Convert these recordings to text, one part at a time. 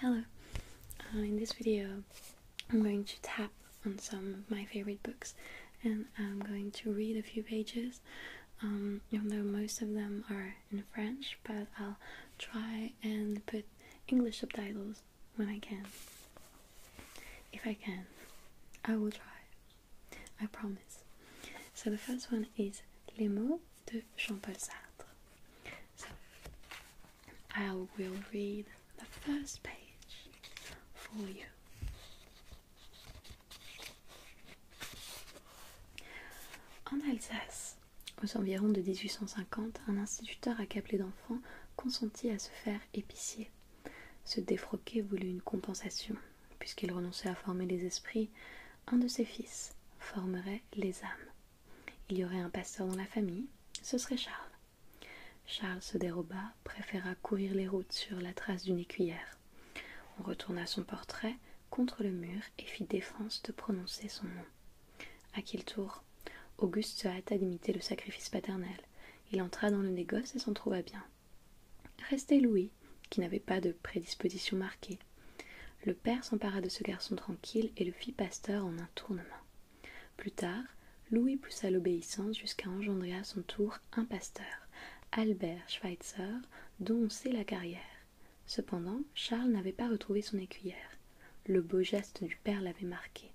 Hello, uh, in this video I'm going to tap on some of my favorite books and I'm going to read a few pages um, even though most of them are in French but I'll try and put English subtitles when I can. If I can, I will try. I promise. So the first one is Les mots de Jean-Paul Sartre. So I will read the first page for you. En Alsace, aux environs de 1850, un instituteur accablé d'enfants consentit à se faire épicier. Ce défroqué voulut une compensation, puisqu'il renonçait à former les esprits, un de ses fils formerait les âmes. Il y aurait un pasteur dans la famille, ce serait Charles. Charles se déroba, préféra courir les routes sur la trace d'une écuyère. On retourna son portrait contre le mur et fit défense de prononcer son nom. À quel tour Auguste se hâta d'imiter le sacrifice paternel. Il entra dans le négoce et s'en trouva bien. Restait Louis, qui n'avait pas de prédisposition marquée. Le père s'empara de ce garçon tranquille et le fit pasteur en un tournement. Plus tard, Louis poussa l'obéissance jusqu'à engendrer à son tour un pasteur, Albert Schweitzer, dont on sait la carrière. Cependant, Charles n'avait pas retrouvé son écuyère. Le beau geste du père l'avait marqué.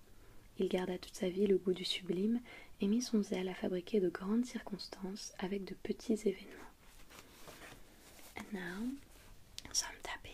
Il garda toute sa vie le goût du sublime et mit son zèle à fabriquer de grandes circonstances avec de petits événements. some tapping.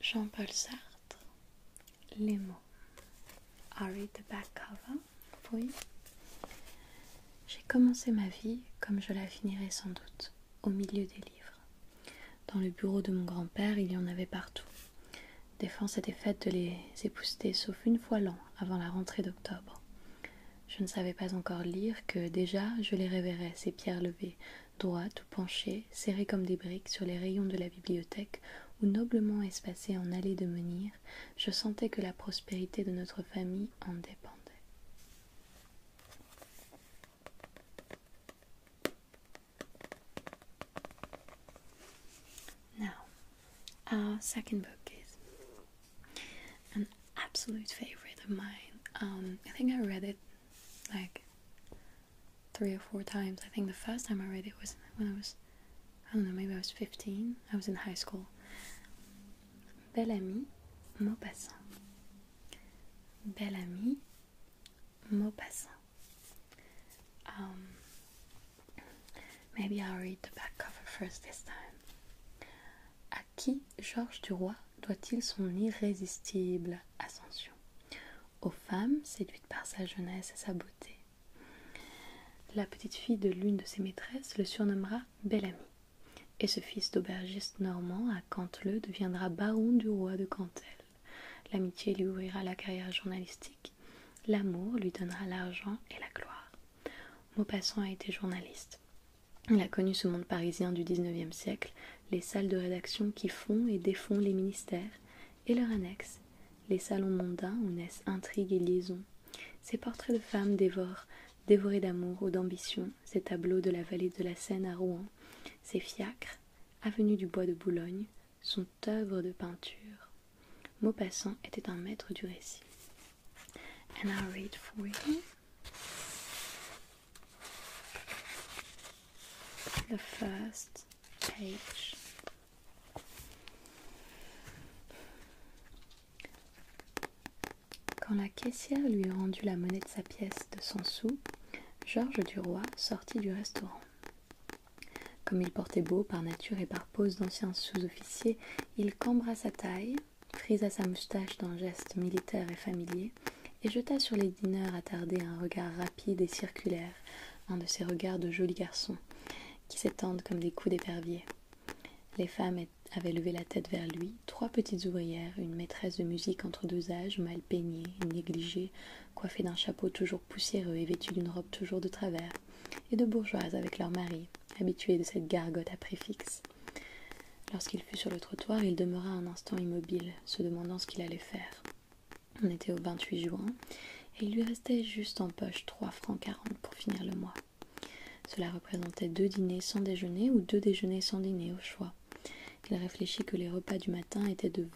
Jean-Paul Sartre, les mots. I read the back cover oui. J'ai commencé ma vie comme je la finirai sans doute, au milieu des livres. Dans le bureau de mon grand-père, il y en avait partout. Défense était faite de les épousseter, sauf une fois l'an, avant la rentrée d'octobre. Je ne savais pas encore lire que déjà je les révérais, ces pierres levées, droite ou penchée, serrée comme des briques sur les rayons de la bibliothèque ou noblement espacée en allées de menir, je sentais que la prospérité de notre famille en dépendait. Now, our second book is an absolute favorite of mine. Um, I think I read it like three or four times. I think the first time I read it was when I was, I don't know, maybe I was 15. I was in high school. Bel ami, Maupassant. Bel ami, Maupassant. Um, maybe I'll read the back cover first this time. À qui Georges Duroy doit-il son irrésistible ascension aux femmes séduites par sa jeunesse et sa beauté. La petite fille de l'une de ses maîtresses le surnommera Belle-Amie. et ce fils d'aubergiste normand à Canteleu deviendra baron du roi de Cantel. L'amitié lui ouvrira la carrière journalistique, l'amour lui donnera l'argent et la gloire. Maupassant a été journaliste. Il a connu ce monde parisien du XIXe siècle les salles de rédaction qui font et défont les ministères, et leurs annexes, les salons mondains où naissent intrigues et liaisons. Ces portraits de femmes dévorent, dévorés d'amour ou d'ambition, ces tableaux de la vallée de la Seine à Rouen, ces fiacres, avenue du Bois de Boulogne, sont œuvres de peinture. Maupassant était un maître du récit the first page. Quand la caissière lui eut rendu la monnaie de sa pièce de 100 sous, Georges Duroy sortit du restaurant. Comme il portait beau par nature et par pose d'ancien sous-officier, il cambra sa taille, frisa sa moustache d'un geste militaire et familier, et jeta sur les dîneurs attardés un regard rapide et circulaire, un de ces regards de jolis garçons qui s'étendent comme des coups d'épervier. Les femmes avaient levé la tête vers lui, trois petites ouvrières, une maîtresse de musique entre deux âges, mal peignée, négligée, coiffée d'un chapeau toujours poussiéreux et vêtue d'une robe toujours de travers, et de bourgeoises avec leurs maris, habituées de cette gargote à préfixe. Lorsqu'il fut sur le trottoir, il demeura un instant immobile, se demandant ce qu'il allait faire. On était au 28 juin, et il lui restait juste en poche trois francs quarante pour finir le mois. Cela représentait deux dîners sans déjeuner ou deux déjeuners sans dîner au choix. Il réfléchit que les repas du matin étaient de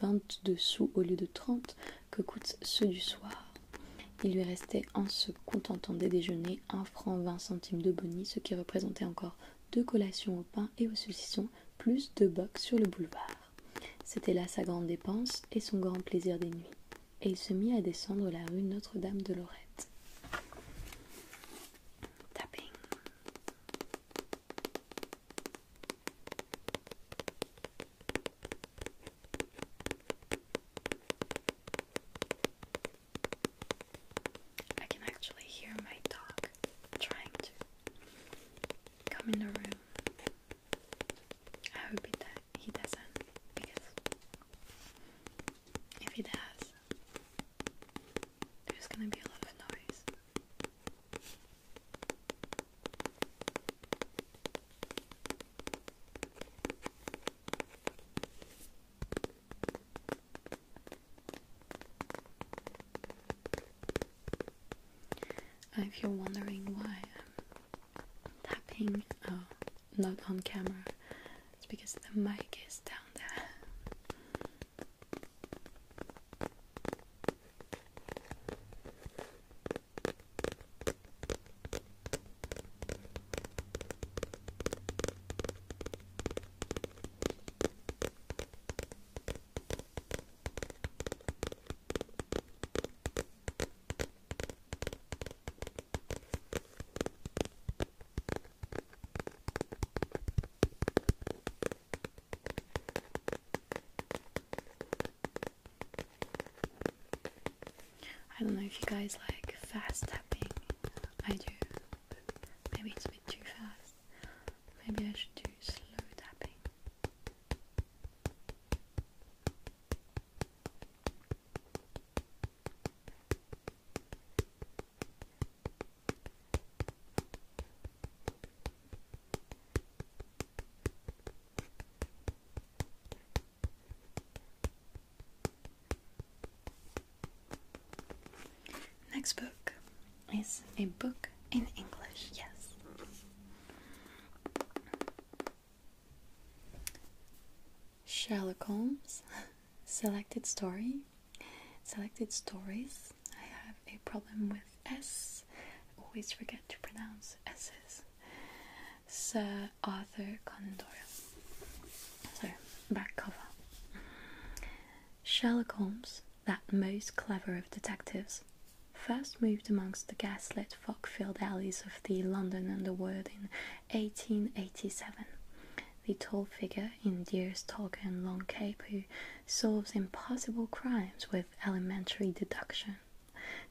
deux sous au lieu de trente que coûtent ceux du soir. Il lui restait en se contentant des déjeuners un franc vingt centimes de boni, ce qui représentait encore deux collations au pain et aux saucissons, plus deux box sur le boulevard. C'était là sa grande dépense et son grand plaisir des nuits. Et il se mit à descendre la rue Notre-Dame de Lorette. Tapping. I can actually hear my dog trying to come in the room. I hope he doesn't, because if he does, there's gonna be a lot of noise. If you're wondering why I'm tapping, oh, not on camera, it's because the mic is down there. I don't know if you guys like fast tapping. I do. Maybe it's a bit too fast. Maybe I should do slow tapping. Next book is a book in English, yes. Sherlock Holmes Selected Story. Selected Stories. I have a problem with S. always forget to pronounce S's. Sir Arthur Conan Doyle. So, back cover. Sherlock Holmes, that most clever of detectives, first moved amongst the gaslit, fog filled alleys of the London underworld in 1887. The tall figure in Deere's and long cape who solves impossible crimes with elementary deduction,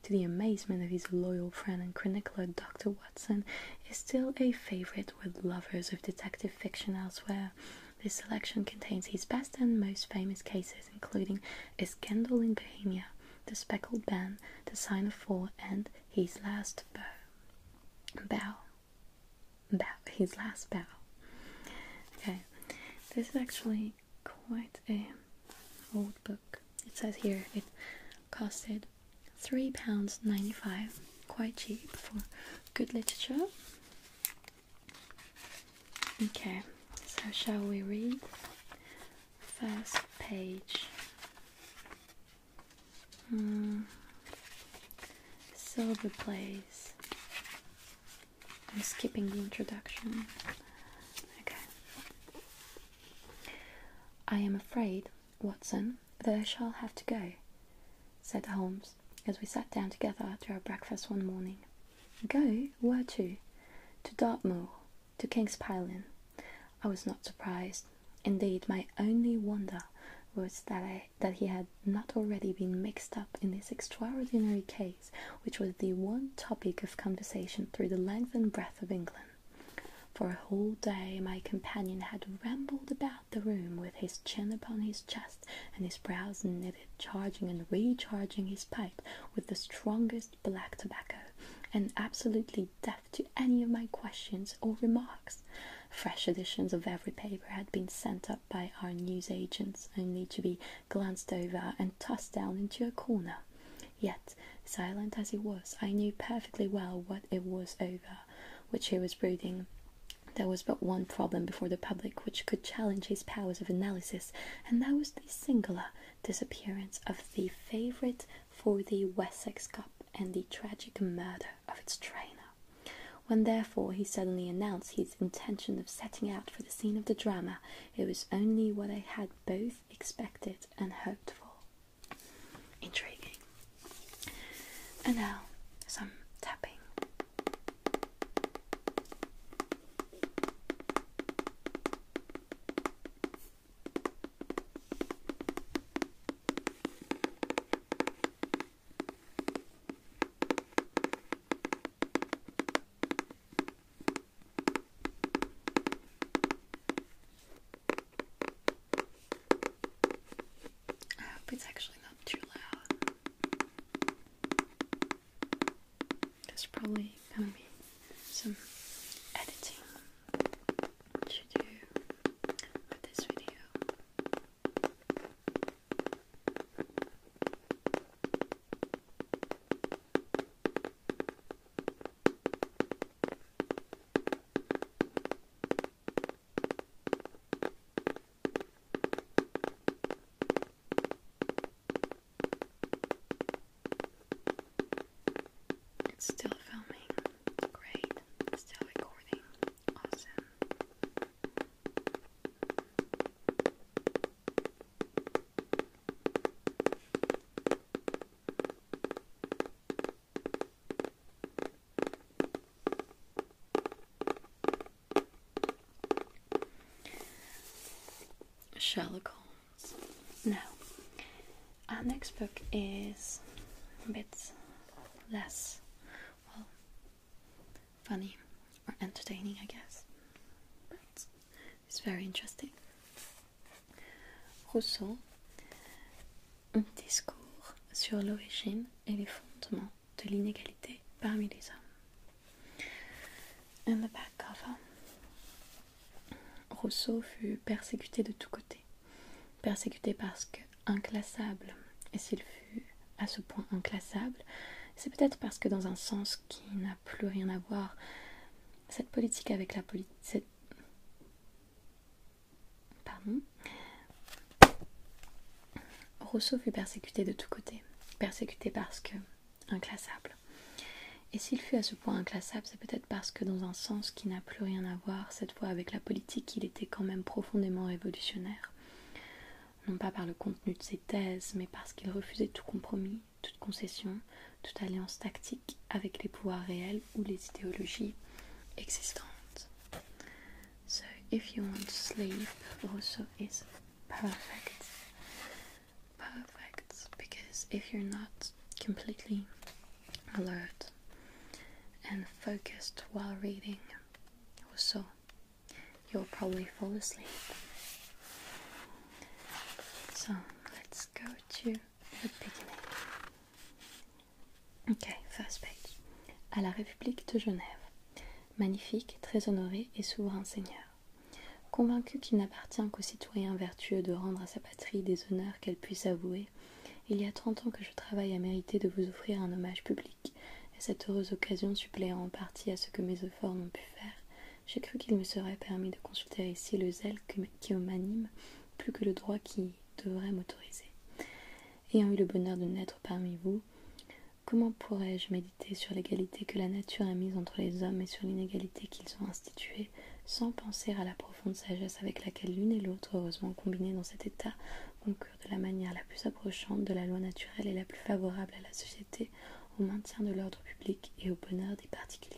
to the amazement of his loyal friend and chronicler Dr is still a favorite with lovers of detective fiction elsewhere. This selection contains his best and most famous cases, including A Scandal in Bohemia, The Speckled Band*, The Sign of Four, and His Last Bow. Bow. Bow. His Last Bow. Okay, this is actually quite a old book. It says here it costed £3.95. Quite cheap for good literature. Okay, so shall we read? First page. Mm. Silver Blaze. I'm skipping the introduction. Okay. I am afraid Watson, though shall have to go, said Holmes, as we sat down together to our breakfast one morning. Go? Where to? To Dartmoor, to King's Pylon. I was not surprised. Indeed, my only wonder was that he had not already been mixed up in this extraordinary case, which was the one topic of conversation through the length and breadth of England. For a whole day my companion had rambled about the room with his chin upon his chest and his brows knitted, charging and recharging his pipe with the strongest black tobacco, and absolutely deaf to any of my questions or remarks. Fresh editions of every paper had been sent up by our news agents, only to be glanced over and tossed down into a corner. Yet, silent as he was, I knew perfectly well what it was over which he was brooding. There was but one problem before the public which could challenge his powers of analysis, and that was the singular disappearance of the favourite for the Wessex Cup and the tragic murder of its trainer. When therefore he suddenly announced his intention of setting out for the scene of the drama, it was only what I had both expected and hoped for. Intriguing. And now some tapping. I hope it's actually not too loud. There's probably gonna be some editing to do with this video. It's still filming. Great. It's still recording. Awesome. Sherlock Holmes. Now, our next book is a bit less, well, funny or entertaining, I guess, but it's very interesting. Rousseau, un discours sur l'origine et les fondements de l'inégalité parmi les hommes. In back Rousseau fut persécuté de tous côtés, persécuté parce que inclassable, et s'il fut à ce point inclassable, c'est peut-être parce que dans un sens qui n'a plus rien à voir, cette politique avec la politique, Pardon. Rousseau fut persécuté de tous côtés, persécuté parce que inclassable. Et s'il fut à ce point inclassable, c'est peut-être parce que dans un sens qui n'a plus rien à voir cette fois avec la politique, il était quand même profondément révolutionnaire. Non pas par le contenu de ses thèses, mais parce qu'il refusait tout compromis, toute concession, toute alliance tactique avec les pouvoirs réels ou les idéologies existantes. So if you want sleep also is perfect. Perfect because if you're not completely alert and focused while reading also you'll probably fall asleep. So let's go to Ok, first page. À la République de Genève. Magnifique, très honoré et souverain seigneur. Convaincu qu'il n'appartient qu'aux citoyens vertueux de rendre à sa patrie des honneurs qu'elle puisse avouer, il y a trente ans que je travaille à mériter de vous offrir un hommage public, et cette heureuse occasion suppléant en partie à ce que mes efforts n'ont pu faire, j'ai cru qu'il me serait permis de consulter ici le zèle qui m'anime plus que le droit qui devrait m'autoriser. Ayant eu le bonheur de naître parmi vous, comment pourrais-je méditer sur l'égalité que la nature a mise entre les hommes et sur l'inégalité qu'ils ont instituée, sans penser à la profonde sagesse avec laquelle l'une et l'autre, heureusement combinées dans cet état, concurrent de la manière la plus approchante de la loi naturelle et la plus favorable à la société, au maintien de l'ordre public et au bonheur des particuliers.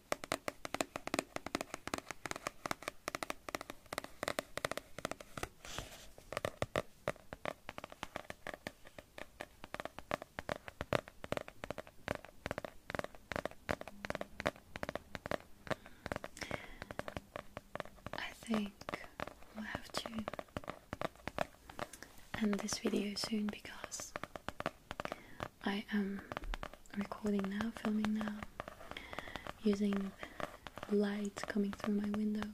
I think we'll have to end this video soon because I am recording now, filming now, using light coming through my window,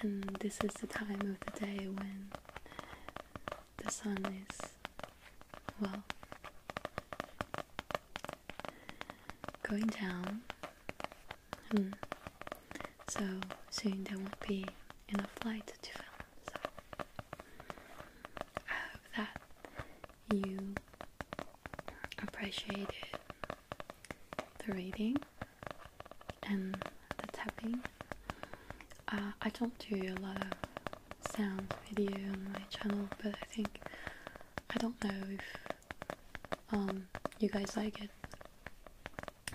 and this is the time of the day when the sun is, well, going down. Mm. So soon there won't be enough light to film. So I hope that you appreciated the reading and the tapping. Uh, I don't do a lot of sound video on my channel, but I think I don't know if um, you guys like it.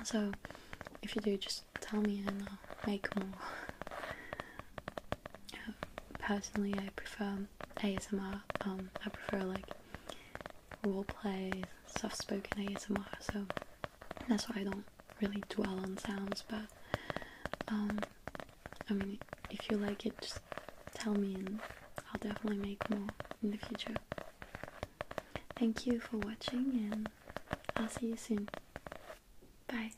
So if you do, just tell me make more. Personally, I prefer ASMR. Um, I prefer like role play, soft spoken ASMR. So that's why I don't really dwell on sounds. But um, I mean, if you like it, just tell me, and I'll definitely make more in the future. Thank you for watching, and I'll see you soon. Bye.